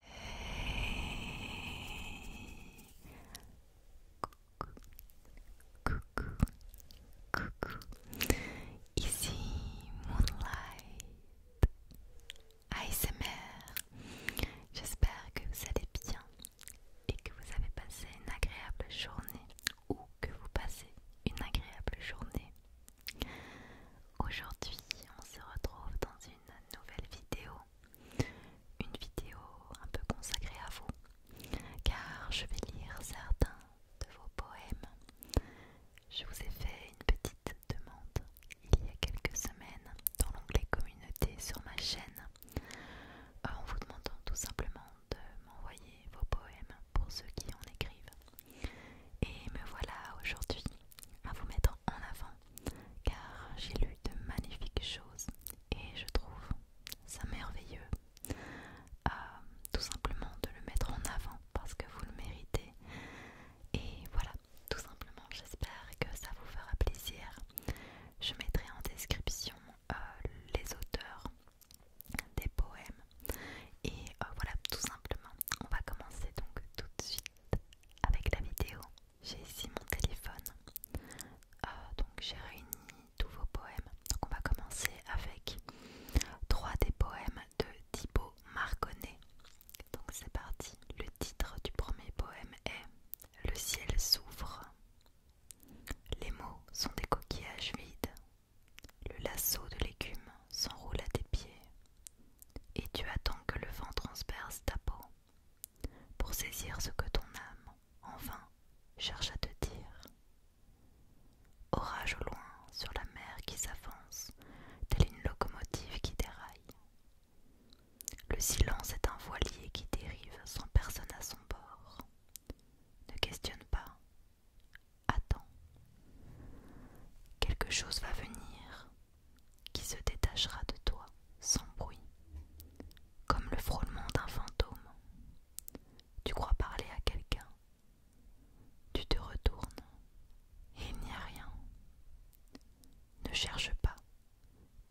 Coucou, coucou, coucou. Ici Moonlight ASMR. J'espère que vous allez bien et que vous avez passé une agréable journée ou que vous passez une agréable journée. Aujourd'hui, on se retrouve dans une nouvelle vidéo, une vidéo un peu consacrée à vous, car je vais lire certains de vos poèmes. Je vous ai fait une petite demande il y a quelques semaines dans l'onglet communauté sur ma chaîne, en vous demandant tout simplement de m'envoyer vos poèmes pour ceux qui en écrivent. Et me voilà aujourd'hui à vous mettre en en avant car j'ai lu de magnifiques choses et je trouve ça merveilleux euh, tout simplement de le mettre en avant parce que vous le méritez et voilà tout simplement j'espère que ça vous fera plaisir je mettrai en description euh, les auteurs des poèmes et euh, voilà tout simplement on va commencer donc tout de suite avec la vidéo. J'ai ici mon téléphone. Euh, donc j'ai réuni tous vos poèmes. Donc on va commencer avec trois des poèmes de Thibaut Marconnet. Donc c'est parti. Le titre du premier poème est Le ciel s'ouvre. Les mots sont des coquillages vides. Le lasso de légumes s'enroule à tes pieds et tu attends que le vent transperce ta peau pour saisir ce que ton âme, en vain, cherche à te dire. Orage au loin sur la mer qui s'avance, telle une locomotive qui déraille. Le silence est un voilier qui dérive sans personne à son bord. Ne questionne pas, attends. Quelque chose va venir, qui se détachera de toi sans bruit, comme le frôlement d'un fantôme. Tu crois parler à quelqu'un, tu te retournes et il n'y a rien. Ne cherche pas,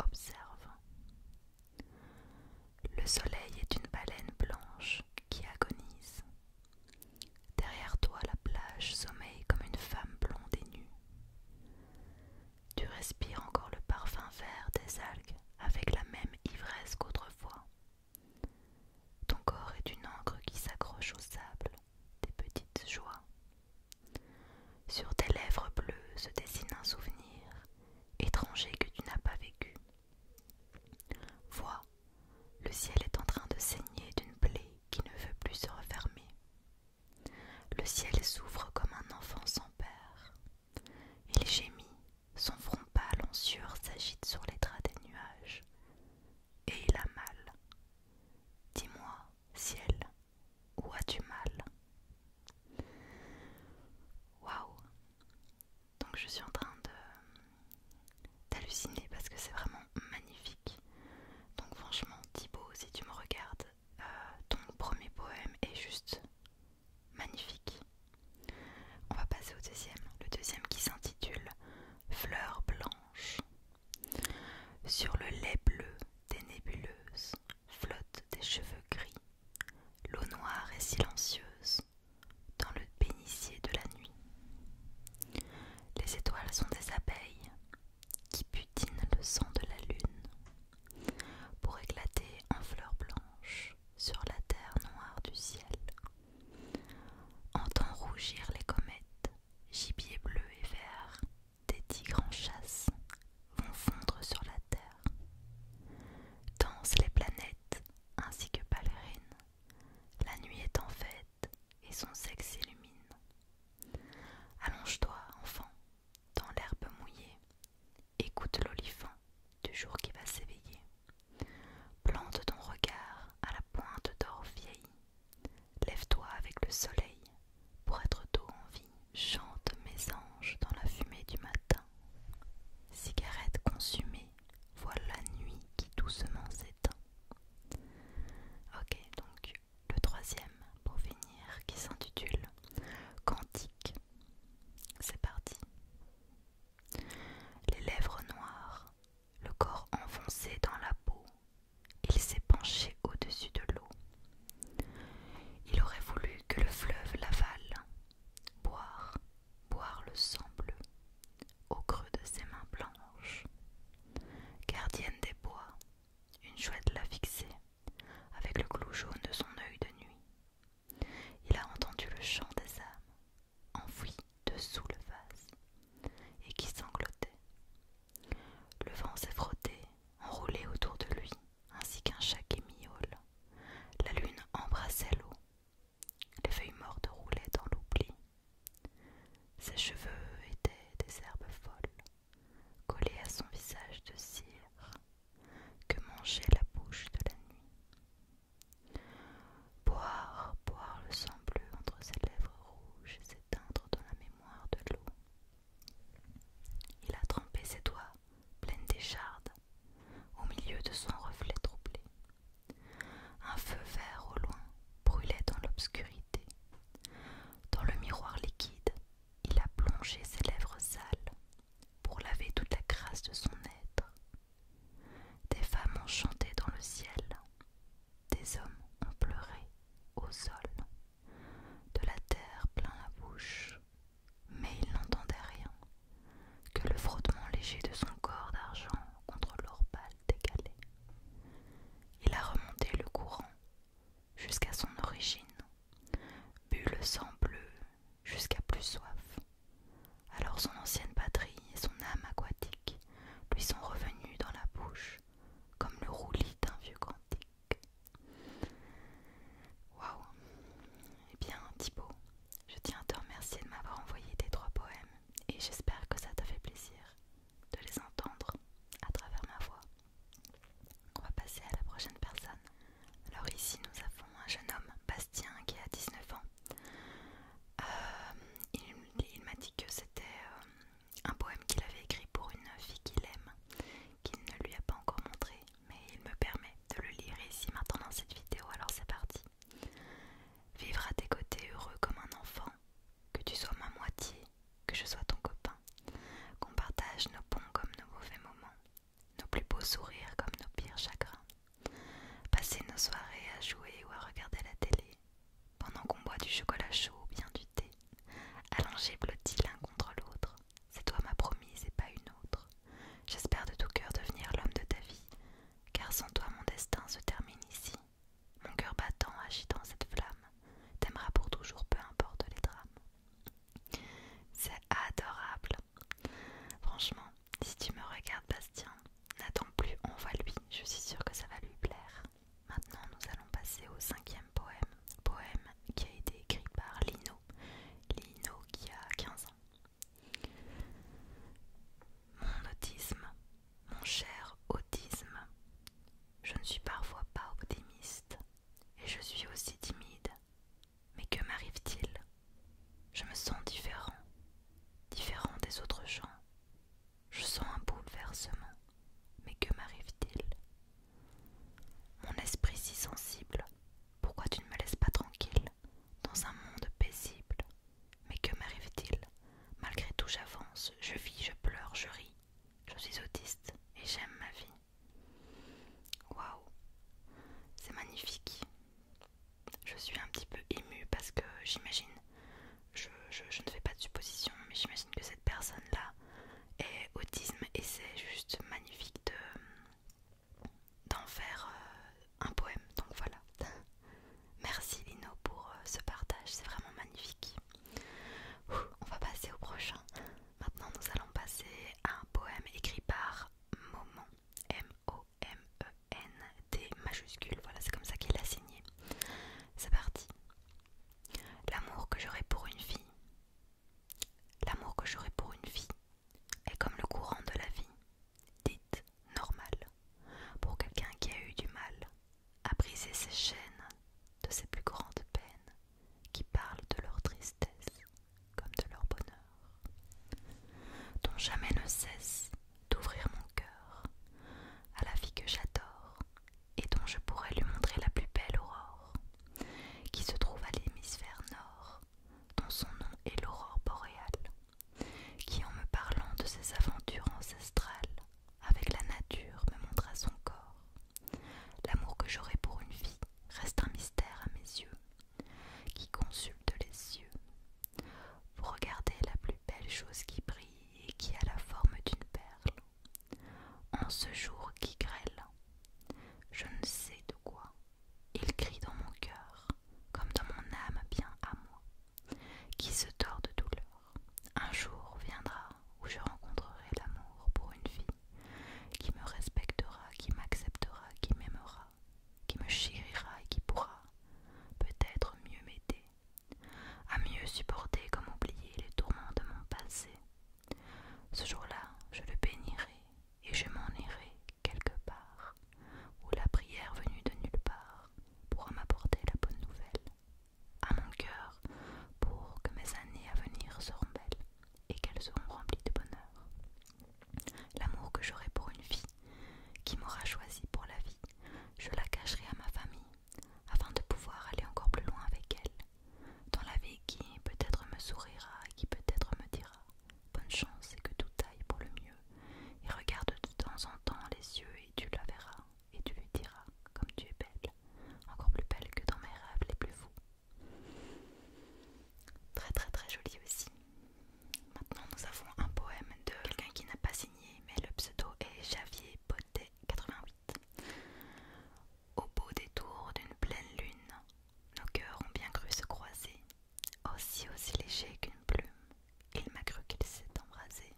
observe. Le soleil est une baleine blanche qui agonise. Derrière toi, la plage sommeille comme une femme blonde et nue. Tu respires encore le parfum vert des algues avec la même ivresse qu'autrefois. Ton corps est une encre qui s'accroche au sable, des petites joies. Sur tes lèvres bleues se dessine un souvenir, étranger que tu n'as pas vécu. Vois, le ciel est en train de saigner d'une plaie qui ne veut plus se refermer. Le ciel s'ouvre comme un enfant sans père. Il gémit, son front pâle en sueur s'agite sur les draps des nuages. Et il a mal. Dis-moi, ciel, où as-tu mal Waouh Donc je suis en train de d'halluciner parce que c'est vraiment magnifique. Donc franchement Thibaut, si tu me regardes, euh, ton premier poème est juste magnifique. On va passer au deuxième. Le deuxième qui s'intitule Fleurs blanches. Sur le lait bleu des nébuleuses flottent des cheveux gris. L'eau noire est silencieuse dans le bénitier de la nuit. Les étoiles sont des abeilles qui putine le sang de la lune pour éclater en fleurs blanches sur la terre noire du ciel. Entend rougir les comètes, gibier bleu et vert, des tigres en chasse vont fondre sur la terre. Dansent les planètes ainsi que ballerines, la nuit est en fête et son sexe illumine. Allonge-toi, enfant, dans l'herbe mouillée, écoute l'olifant du jour qui va s'éveiller. Plante ton regard à la pointe d'or vieille, lève-toi avec le soleil, pour être tôt en vie, chante mes anges dans la fumée du matin. Cigarette consumée, voilà la nuit qui doucement s'éteint. Ok, le troisième pour finir qui s'intitule Cantique. C'est parti. Les lèvres noires, le corps enfoncé dans la peau, il s'est penché au-dessus de l'eau. Il aurait voulu que le fleuve l'avale, boire, boire le sang bleu, au creux de ses mains blanches. Gardienne des bois, une chouette l'a fixée avec le clou jaune de son œil de nuit. Il a entendu le chant des âmes, enfouies dessous le vase, et qui sanglotait. Le vent s'est frotté, enroulé autour de lui, ainsi qu'un chat qui miaule. La lune embrassait l'eau. Les feuilles mortes roulaient dans l'oubli. Ses cheveux étaient des herbes folles, collées à son visage de cire que mangeait la bouche de la nuit. Boire, boire le sang bleu entre ses lèvres rouges s'éteindre dans la mémoire de l'eau. Il a trempé ses doigts, pleines d'échardes, au milieu de son reflet troublé. Un feu vert au loin brûlait dans l'obscurité, dans le miroir liquide, il a plongé ses lèvres sales pour laver toute la grâce de son être. Des femmes ont chanté dans le ciel, des hommes ont pleuré au sol, de la terre plein la bouche, mais il n'entendait rien que le frottement léger de son corps d'argent contre l'or décalé. Il a remonté le courant jusqu'à son origine, bu le sang bleu jusqu'à plus soif. Alors son ancienne patrie et son âme aquatique lui sont revenus dans la bouche comme le roulis d'un vieux cantique. Waouh Eh bien, Thibaut, je tiens à te remercier de m'avoir envoyé tes trois poèmes et j'espère que ça t'a fait plaisir de les entendre à travers ma voix. On va passer à la prochaine personne. Alors ici nous avons un jeune homme, Bastien, qui a 19 ans. Euh, il, m'a dit que c'était euh, un poème qu'il avait écrit pour une fille qu'il aime, qu'il ne lui a pas encore montré, mais il me permet de le lire ici maintenant dans cette vidéo, alors c'est parti. Vivre à tes côtés heureux comme un enfant, que tu sois ma moitié, que je sois ton copain, qu'on partage nos bons comme nos mauvais moments, nos plus beaux sourires comme nos pires chagrins, passer nos soirées à jouer ou à regarder la télé, pendant qu'on boit du chocolat chaud ou bien du thé, allongés blottis l'un contre l'autre, c'est toi ma promise et pas une autre. J'espère de tout cœur devenir l'homme de ta vie, car sans toi mon destin se termine ici mon cœur battant agitant cette flamme, t'aimeras pour toujours, peu importe les drames. C'est adorable. Franchement, si tu me regardes, Bastien, n'attends plus, on voit lui, je suis sûre que ça va lui plaire. Maintenant, nous allons passer au cinquième poème, poème qui a été écrit par Lino, Lino qui a 15 ans. Mon autisme, mon cher autisme, je ne suis parfois pas optimiste et je suis aussi timide. Mais que m'arrive-t-il Je me sens différent, différent des autres gens. Je sens un bouleversement. Mais que m'arrive-t-il Mon esprit si sensible, pourquoi tu ne me laisses pas tranquille dans un monde paisible mais que m'arrive-t-il Malgré tout, j'avance, je vis, je pleure, je ris. Je suis autiste et j'aime ma vie. Waouh, c'est magnifique. Je suis un petit peu émue parce que j'imagine, je, ne fais pas de supposition, mais j'imagine que cette personne-là est autisme et c'est juste magnifique de d'en faire euh, un poème. Donc voilà. Merci Lino pour euh, ce partage, c'est vraiment magnifique. on va passer au prochain. Maintenant, nous allons passer à un poème écrit par Momon, m o m e n T majuscule. Voilà, c'est comme ça qu'il l'a signé. C'est parti. L'amour que j'aurai pour une fille, l'amour que j'aurai pour une fille est comme le courant de la vie. Dites normal pour quelqu'un qui a eu du mal à briser ses chaînes de ses plus grandes peines, qui parlent de leur tristesse comme de leur bonheur, dont jamais ne cesse d'ouvrir mon cœur à la vie que j'adore et dont je pourrais lui montrer la plus belle aurore, qui se trouve à l'hémisphère nord, dont son nom est l'aurore boréale qui en me parlant de ses aventures ancestrales avec la nature me montra son corps. L'amour que j'aurai pour une vie reste un mystère à mes yeux, qui consulte les yeux Vous regardez la plus belle chose qui brille et qui a la forme d'une perle. En ce jour qui grêle, je ne sais de quoi, il crie dans mon cœur, comme dans mon âme bien à moi qui se tord de douleur. Un jour viendra où je rencontrerai l'amour pour une fille qui me respectera, qui m'acceptera, qui m'aimera, qui me chérira et qui pourra peut-être mieux m'aider, à mieux supporter comme oublier les tourments de mon passé. Ce jour-là, je le bénirai et je m'en irai quelque part, où la prière venue de nulle part pour m'apporter la bonne nouvelle, à mon cœur pour que mes années à venir seront belles et qu'elles seront remplies de bonheur. L'amour que j'aurai pour une fille qui m'aura choisi pour la vie, je la cacherai à ma famille afin de pouvoir aller encore plus loin avec elle, dans la vie qui peut-être me sourira et qui peut-être me dira bonne chance et que tout aille pour le mieux. Il regarde de temps en temps les yeux et tu la verras et tu lui diras comme tu es belle, encore plus belle que dans mes rêves les plus fous. Très très très joli aussi. Maintenant nous avons un poème de quelqu'un qui n'a pas signé mais le pseudo est Javier Potet 88. Au beau détour d'une pleine lune, nos cœurs ont bien cru se croiser, aussi aussi léger qu'une plume il m'a cru qu'il s'est embrasé.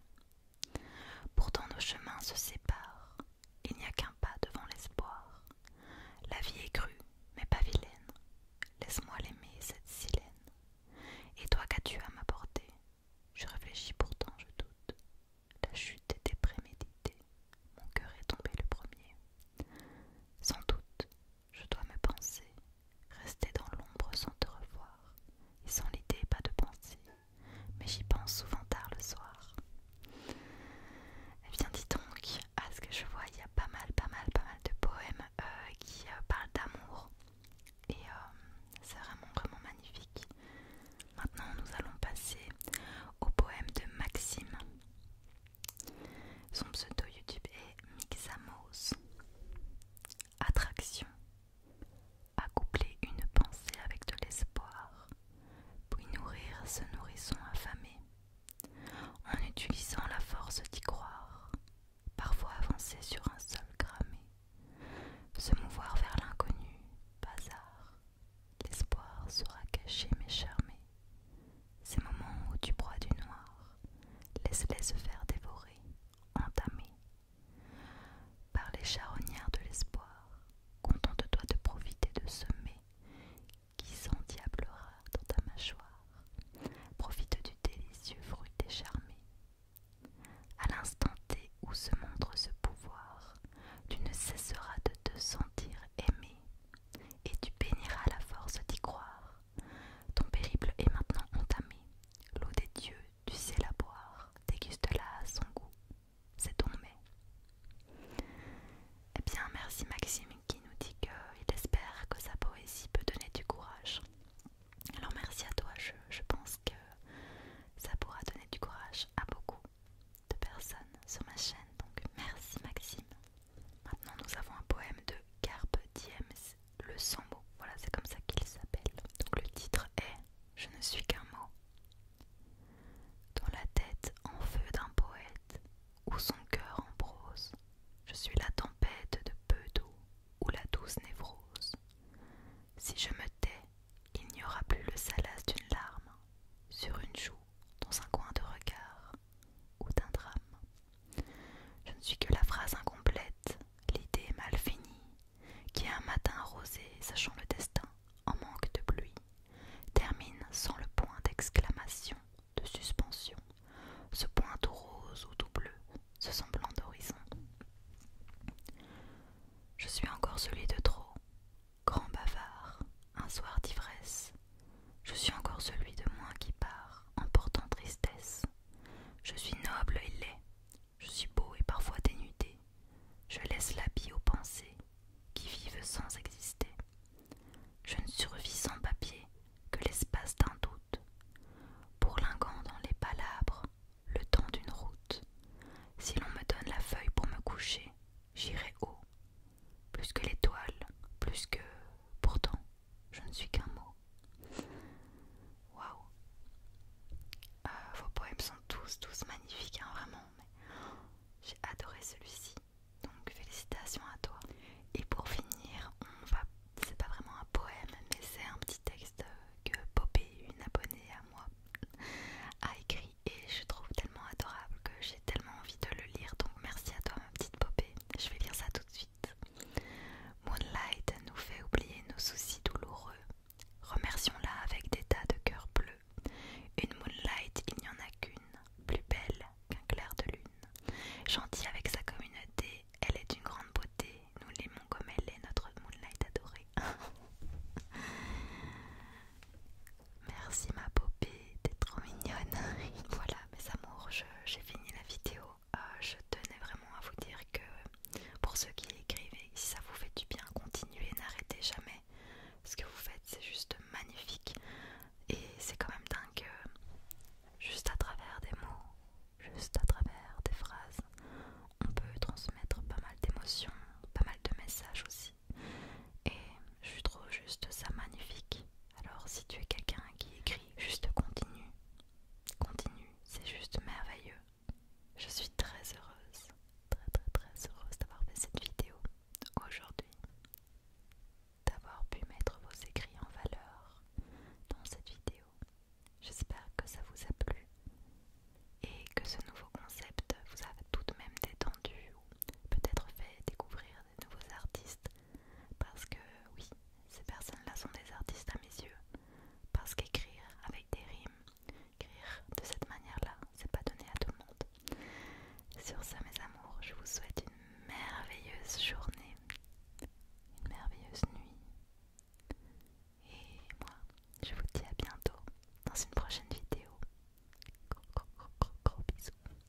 Pourtant nos chemins se séparent, il n'y a qu'un pas devant l'espoir. La vie est crue, mais pas vilaine, laisse-moi l'aimer, cette silène. Et toi qu'as-tu à m'apporter Je réfléchis pourtant, je doute. La chute était préméditée, mon cœur est tombé le premier. Sans doute, je dois me penser Rester dans l'ombre sans te revoir, et sans l'idée pas de pensée, mais j'y pense souvent tard le soir. Eh bien dis donc, à ce que je vois, il y a pas mal, pas mal, pas mal de poèmes euh, qui euh, parlent d'amour. Et euh, c'est vraiment, vraiment magnifique. Maintenant, nous allons passer au poème de Maxime. Son pseudo YouTube est Mixamos. Attraction. Accoupler une pensée avec de l'espoir, puis nourrir ce nourrisson affamé, en utilisant la force d'y croire, parfois avancer sur un sol cramé, se mouvoir vers l'inconnu, bazar. L'espoir sera caché mais charmé. Ces moments où tu broies du noir, laisse-les se faire dévorer entamé par les charognards de l'espoir, contente-toi de profiter de ce mets qui s'endiablera dans ta mâchoire. Profite du délicieux fruit écharmé. À l'instant T où se montre ce pouvoir, tu ne cesseras de te sentir aimé et tu béniras la force d'y croire. Ton périple est maintenant entamé. L'eau des dieux, tu sais la boire, déguste-la à son goût. C'est ton mets. Eh bien, merci Maxime qui nous dit qu'il espère que sa poésie peut donner du courage. Alors merci à toi, je, je pense que ça pourra donner du courage à beaucoup de personnes sur ma chaîne. Donc merci Maxime. Maintenant nous avons un poème de Carpe Diem le sans mot. Voilà, c'est comme ça qu'il s'appelle. Donc le titre est Je ne suis qu'un mot. Dans la tête en feu d'un poète, ou son cœur en prose, je suis la tempête de peu d'eau, ou la douce névrose. Si je me tais, il n'y aura plus le salace d'une larme, sur une joue, dans un coin de regard, ou d'un drame. Je ne suis que la phrase incomplète, l'idée mal finie, qui un matin rosé, sachant le destin, en manque de pluie, termine sans le point d'exclamation, de suspension, ce point tout rose ou tout bleu, ce semblant d'horizon. Je suis encore celui de trop, grand bavard, un soir d'ivresse. Je suis encore celui de moins qui part, emportant tristesse, je suis noble et laid, je suis beau et parfois dénudé. Je laisse l'habit aux pensées qui vivent sans exister. Je ne survis sans papier que l'espace d'un doute, Pour lingant dans les palabres le temps d'une route. Si l'on me donne la feuille pour me coucher, j'irai haut, plus que l'étoile, plus que pourtant je ne suis qu'un mot. Waouh! Euh, vos poèmes sont tous, tous magnifiques, hein, vraiment. J'ai adoré celui-ci, donc félicitations à toi. Et pour finir, on va. C'est pas vraiment un poème, mais c'est un petit texte que Popé, une abonnée à moi, a écrit et je trouve tellement adorable que j'ai tellement envie de le lire. Donc merci à toi, ma petite Popée. Je vais lire ça tout de suite. Moonlight nous fait oublier nos soucis douloureux. Remercions-la avec des tas de cœurs bleus. Une Moonlight, il n'y en a qu'une, plus belle qu'un clair de lune. Gentille avec sa communauté, elle est d'une grande beauté. Nous l'aimons comme elle est, notre Moonlight adorée. Merci ma popée, t'es trop mignonne. voilà mes amours, j'ai fini la vidéo. Euh, je tenais vraiment à vous dire que pour ceux qui écrivent, si ça vous fait du bien, continuez, n'arrêtez jamais. Ce que vous faites, c'est juste magnifique. Et c'est quand même dingue, euh, juste à travers des mots, juste à travers des phrases, on peut transmettre pas mal d'émotions, pas mal de messages aussi. Et je trouve juste ça magnifique. Alors si tu es quelqu'un qui écrit, juste continue, Continue, c'est juste merveilleux. Je suis très heureuse, très très très heureuse d'avoir fait cette vidéo aujourd'hui, d'avoir pu mettre vos écrits en valeur dans cette vidéo. J'espère que ça vous a plu et que ce nouveau concept vous a tout de même détendu ou peut-être fait découvrir des nouveaux artistes parce que oui, ces personnes-là sont des artistes à mes yeux. Parce qu'écrire avec des rimes, écrire de cette manière-là, c'est pas donné à tout le monde. Sur ça, mes amours, je vous souhaite une merveilleuse journée, une merveilleuse nuit. Et moi, je vous dis à bientôt dans une prochaine vidéo. Gros, gros, gros, gros, gros bisous.